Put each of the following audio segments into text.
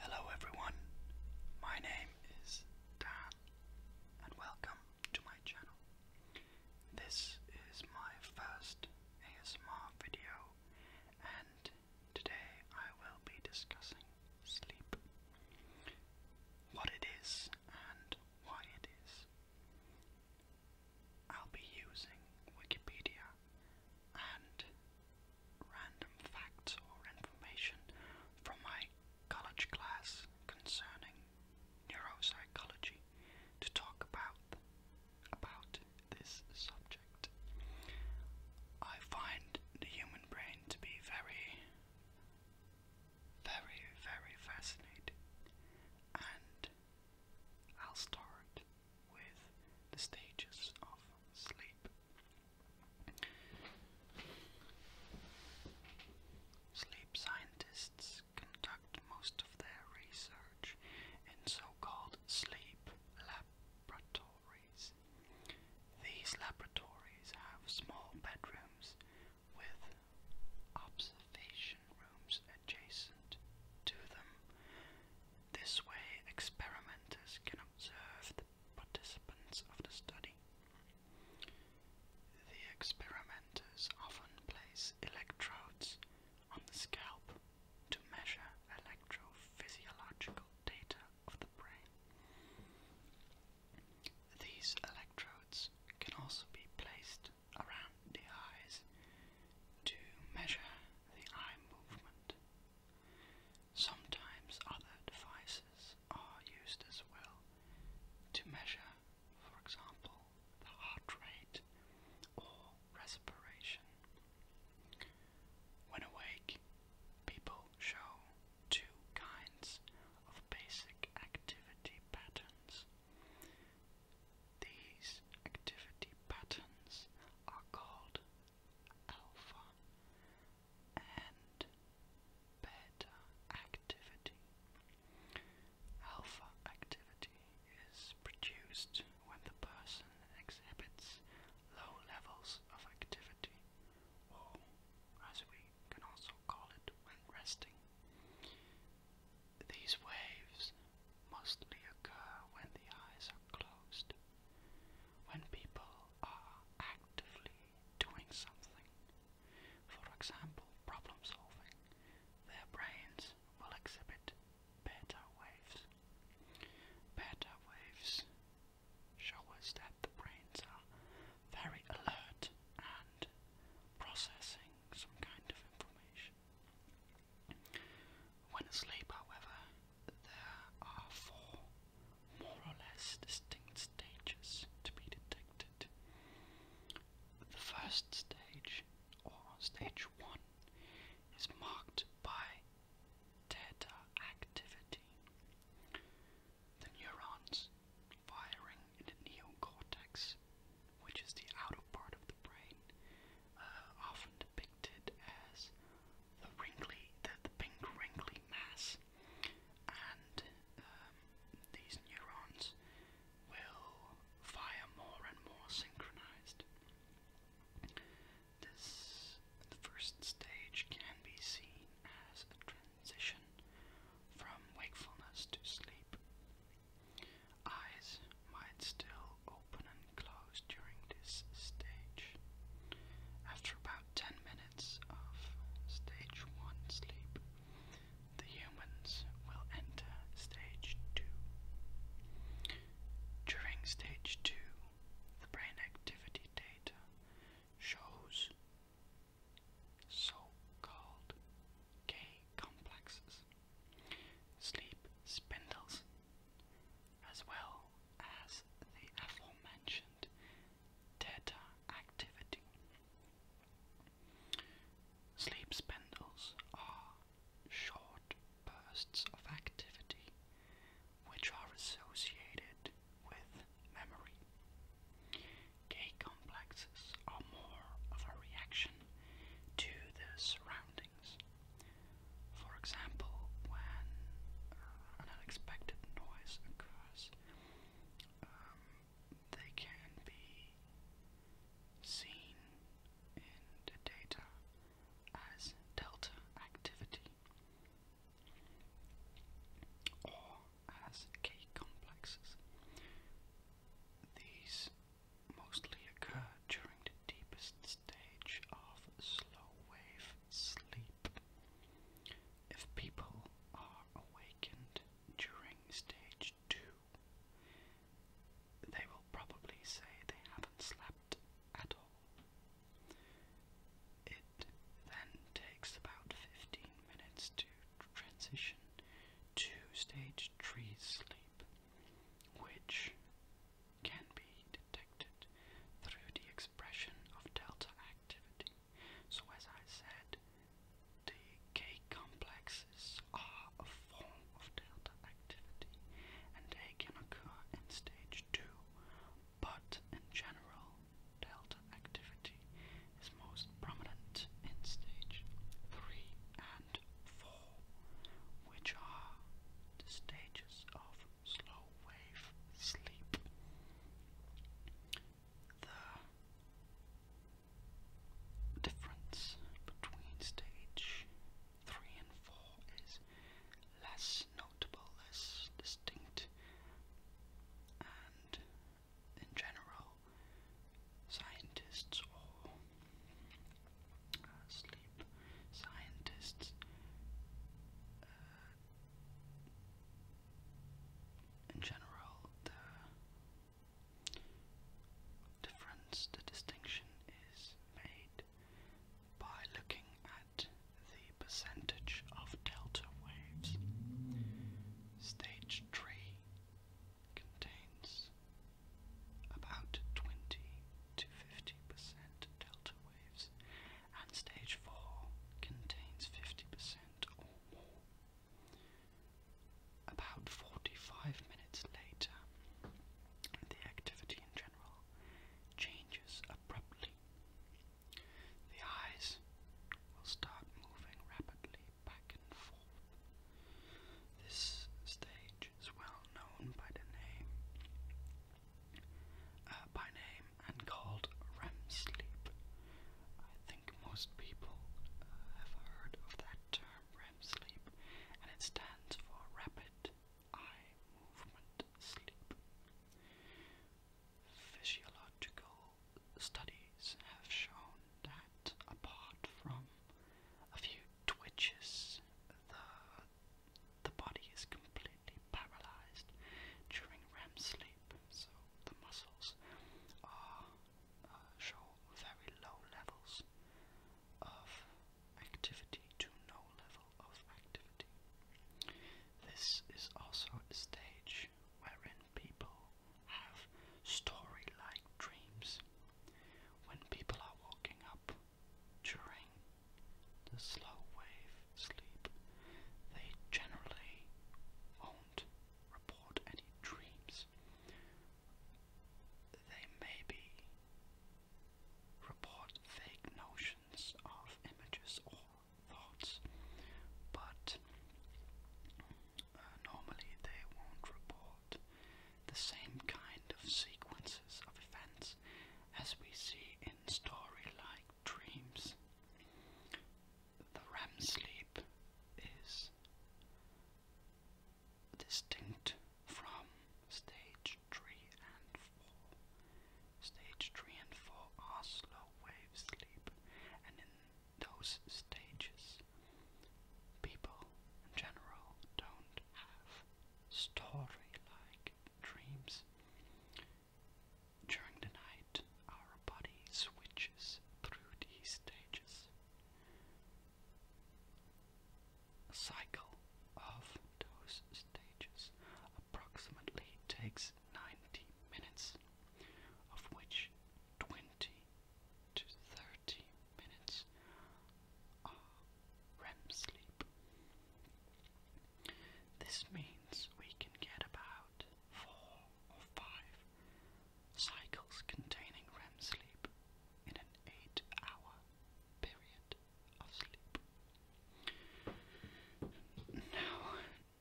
Hello everyone, my name is Dan and welcome to my channel. This is my first ASMR video and today I will be discussing sleep. What it is and why it is. I'll be using Wikipedia and random facts or information from my college class concerning neuropsychology to talk about about this subject. I find the human brain to be very very very fascinating and I'll start with the stages of sleep. Sleep scientists conduct most of their research in so-called sleep laboratories. These laboratories have small bedrooms with observation rooms adjacent to them. This way, experimenters can observe the participants of the study. The experimenters often place electrodes on the scalp to measure electrophysiological data of the brain. These electrodes can also be placed around the eyes to measure the eye movement. Sometimes other devices are used as well to measure, for example, the heart rate or respiration. When awake, people show two kinds of basic activity patterns these activity patterns are called alpha and beta activity. Alpha activity is produced when the person exhibits low levels of activity, or as we can also call it, when resting. These waves mostly occur when the eyes are closed, when people are actively doing something. For example, problem solving, their brains will exhibit beta waves. Beta waves show us that the brains are very alert and processing some kind of information. When asleep, however, there are four more or less distinct stages to be detected. The first stage, or stage one, is marked by theta activity. The neurons firing in the neocortex which is the outer part of the brain, uh, often depicted as the pink wrinkly mass, and um, these neurons will fire more and more synchronized. This, first stage, can be seen as a transition from wakefulness to sleep. Eyes might still open and close during this stage. After about 10 minutes of stage 1 sleep, the humans will enter stage 2. During stage 2, the brain activity data shows so-called K complexes, sleep spindles, as well as the aforementioned theta activity. Sleep spindles are short bursts of activity which are associated with memory. K complexes are more of a reaction to the surroundings. For example, when an unexpected noise occurs, um, they can be seen in the data as delta activity as K complexes. These mostly occur during the deepest stage of slow wave sleep. If people are awakened during stage 2, they will probably say they haven't slept at all. It then takes about 15 minutes to transition to stage 3 sleep, which can be detected through the expression of delta activity. So, as I said, the K complexes are a form of delta activity and they can occur in stage 2, but in general, delta activity is most prominent in stage 3 and 4, which are the stages of slow wave sleep. The difference between stage 3 and 4 is less notable, less distinct, and in general, scientists or uh, sleep scientists uh, in general, the difference, the distinction is made by looking at the the percentage of delta waves. Stage 3 contains about 20 to 50% delta waves, and stage 4 contains 50% or more. About 45 minutes later, the activity in general changes abruptly the eyes will start moving rapidly back and forth. This stage is well known by the name uh, by name and called REM sleep. I think most people uh, have heard of that term REM sleep, and it stands for rapid eye movement sleep. Physiological studies have shown that apart from a few twitches, the the body is completely paralyzed during REM sleep, so the muscles are uh, show very low levels of activity to no level of activity. This is also a stage wherein people have story like dreams. When people are walking up during the slow wave sleep, they generally won't report any dreams. They maybe report vague notions of images or thoughts, but uh, normally they won't report the same kind of sequences of events as we see in story-like dreams. The REM sleep is distinct from stage 3 and 4 stage 3 and 4 are slow wave sleep, and in those stages, people in general don't have story like dreams. During the night, our body switches through these stages. cycle of those stages approximately takes 90 minutes, of which 20 to 30 minutes are REM sleep. This means we can get about four or five cycles containing REM sleep in an eight hour period of sleep. Now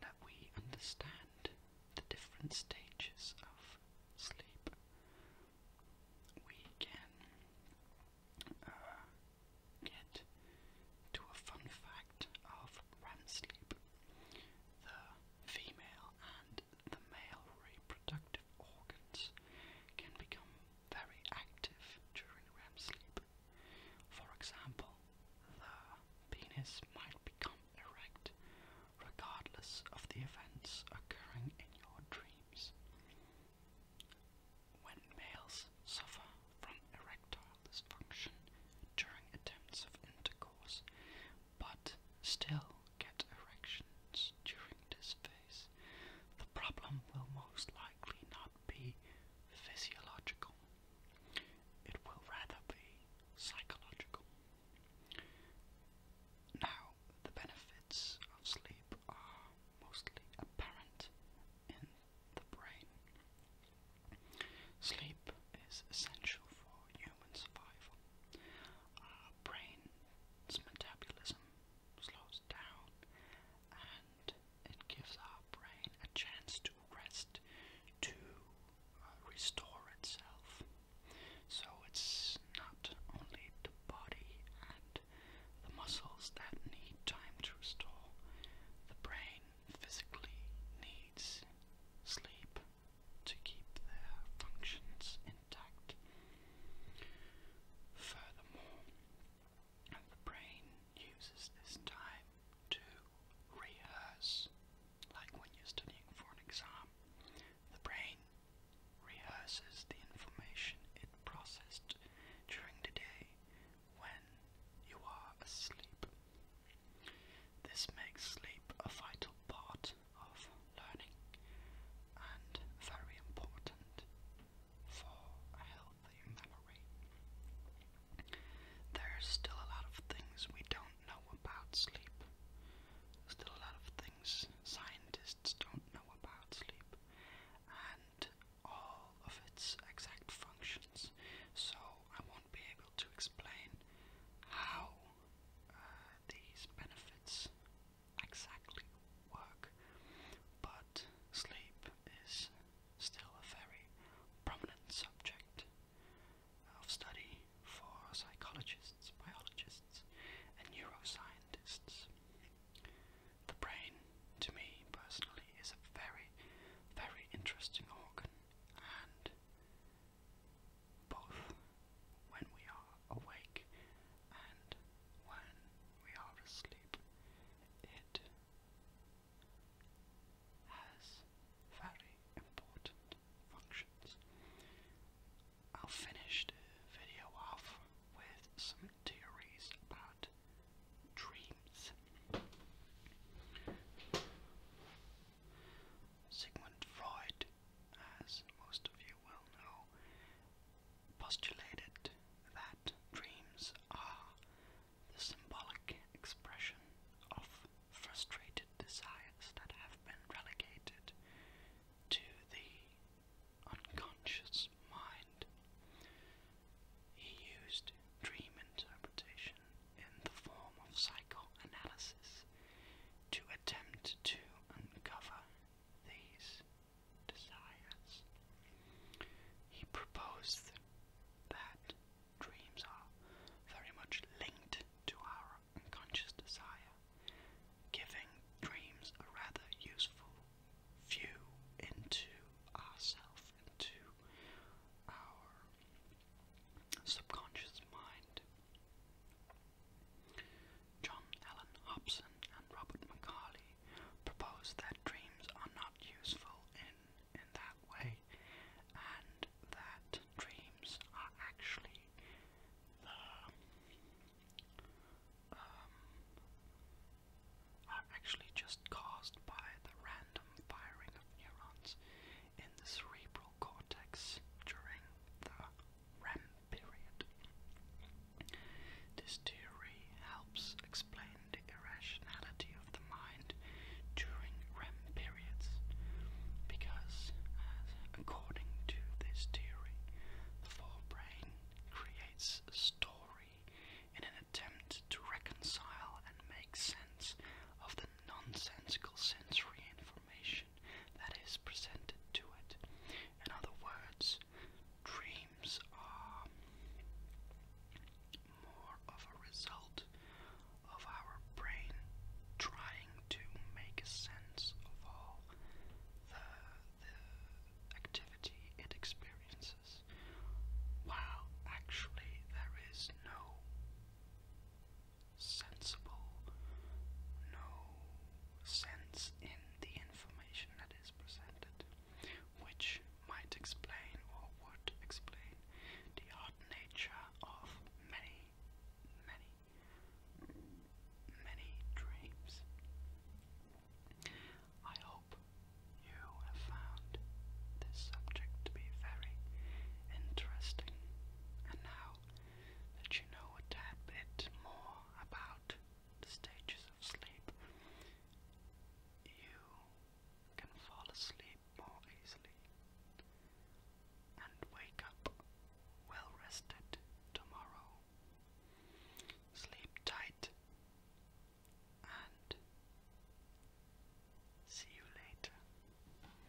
that we understand uh, the different stages of sleep, we can uh, get to a fun fact of REM uh, sleep. The female and the male reproductive organs can become very active during REM sleep. For example, the penis might become erect regardless of the events occurring in your dreams. When males suffer from erectile dysfunction during attempts of intercourse, but still get erections during this phase, the problem will most likely not be physiological, it will rather be psychological. Now, the benefits of sleep are mostly apparent in the brain. Sleep is essential for human survival. Our metabolism slows down and it gives our brain a chance to rest, to uh, restore itself. So it's not only the body and the muscles that need time to restore, the brain physically needs sleep to keep their functions intact. Furthermore, and the brain uses this time to rehearse. Like when you're studying for an exam, the brain rehearses the information it processed during the day when you are asleep. This makes sleep a vital part of learning and very important for a healthy memory. There is still a lot of things we don't know about sleep. Still a lot of things scientists don't know about sleep and all of its exact functions. So I won't be able to explain how uh, these benefits exactly work, but sleep is still a very prominent subject of study for psychologists, biologists, and neuroscientists. The brain, to me personally, is a very, very interesting organ, and both when we are awake and when we are asleep. It has very important functions. I'll finish the video off with some theories about dreams. Sigmund Freud as most of you will know, postulated that dreams are the symbolic expression of frustrated desires that have been relegated to the unconscious mind. He used dream interpretation in the form of psychoanalysis to attempt to uncover these desires. He proposed that dreams are very much linked to our unconscious desire, giving dreams a rather useful view into ourself, into our subconscious mind. John Allen Hobson and Robert Macaulay propose that dreams are not useful in, in that way, and that dreams are actually um, are actually just caused by the random firing of neurons in the cerebral cortex during the REM period. This theory helps explain the irrationality of the mind during REM periods, because according to this theory, the forebrain creates a story in an attempt to reconcile and make sense of the nonsensical sensory information that is presented to it. In other words, dreams are more of a result of our brain trying to make sense of all the, activity it experiences, while actually there is no sensible, no sense in the information that is presented, which might explain or would explain the odd nature of many, many, many dreams. I hope you have found this subject to be very interesting, and now that you know a tad bit more about the stages of sleep, you can fall asleep more easily and wake up well rested tomorrow. Sleep tight and see you later.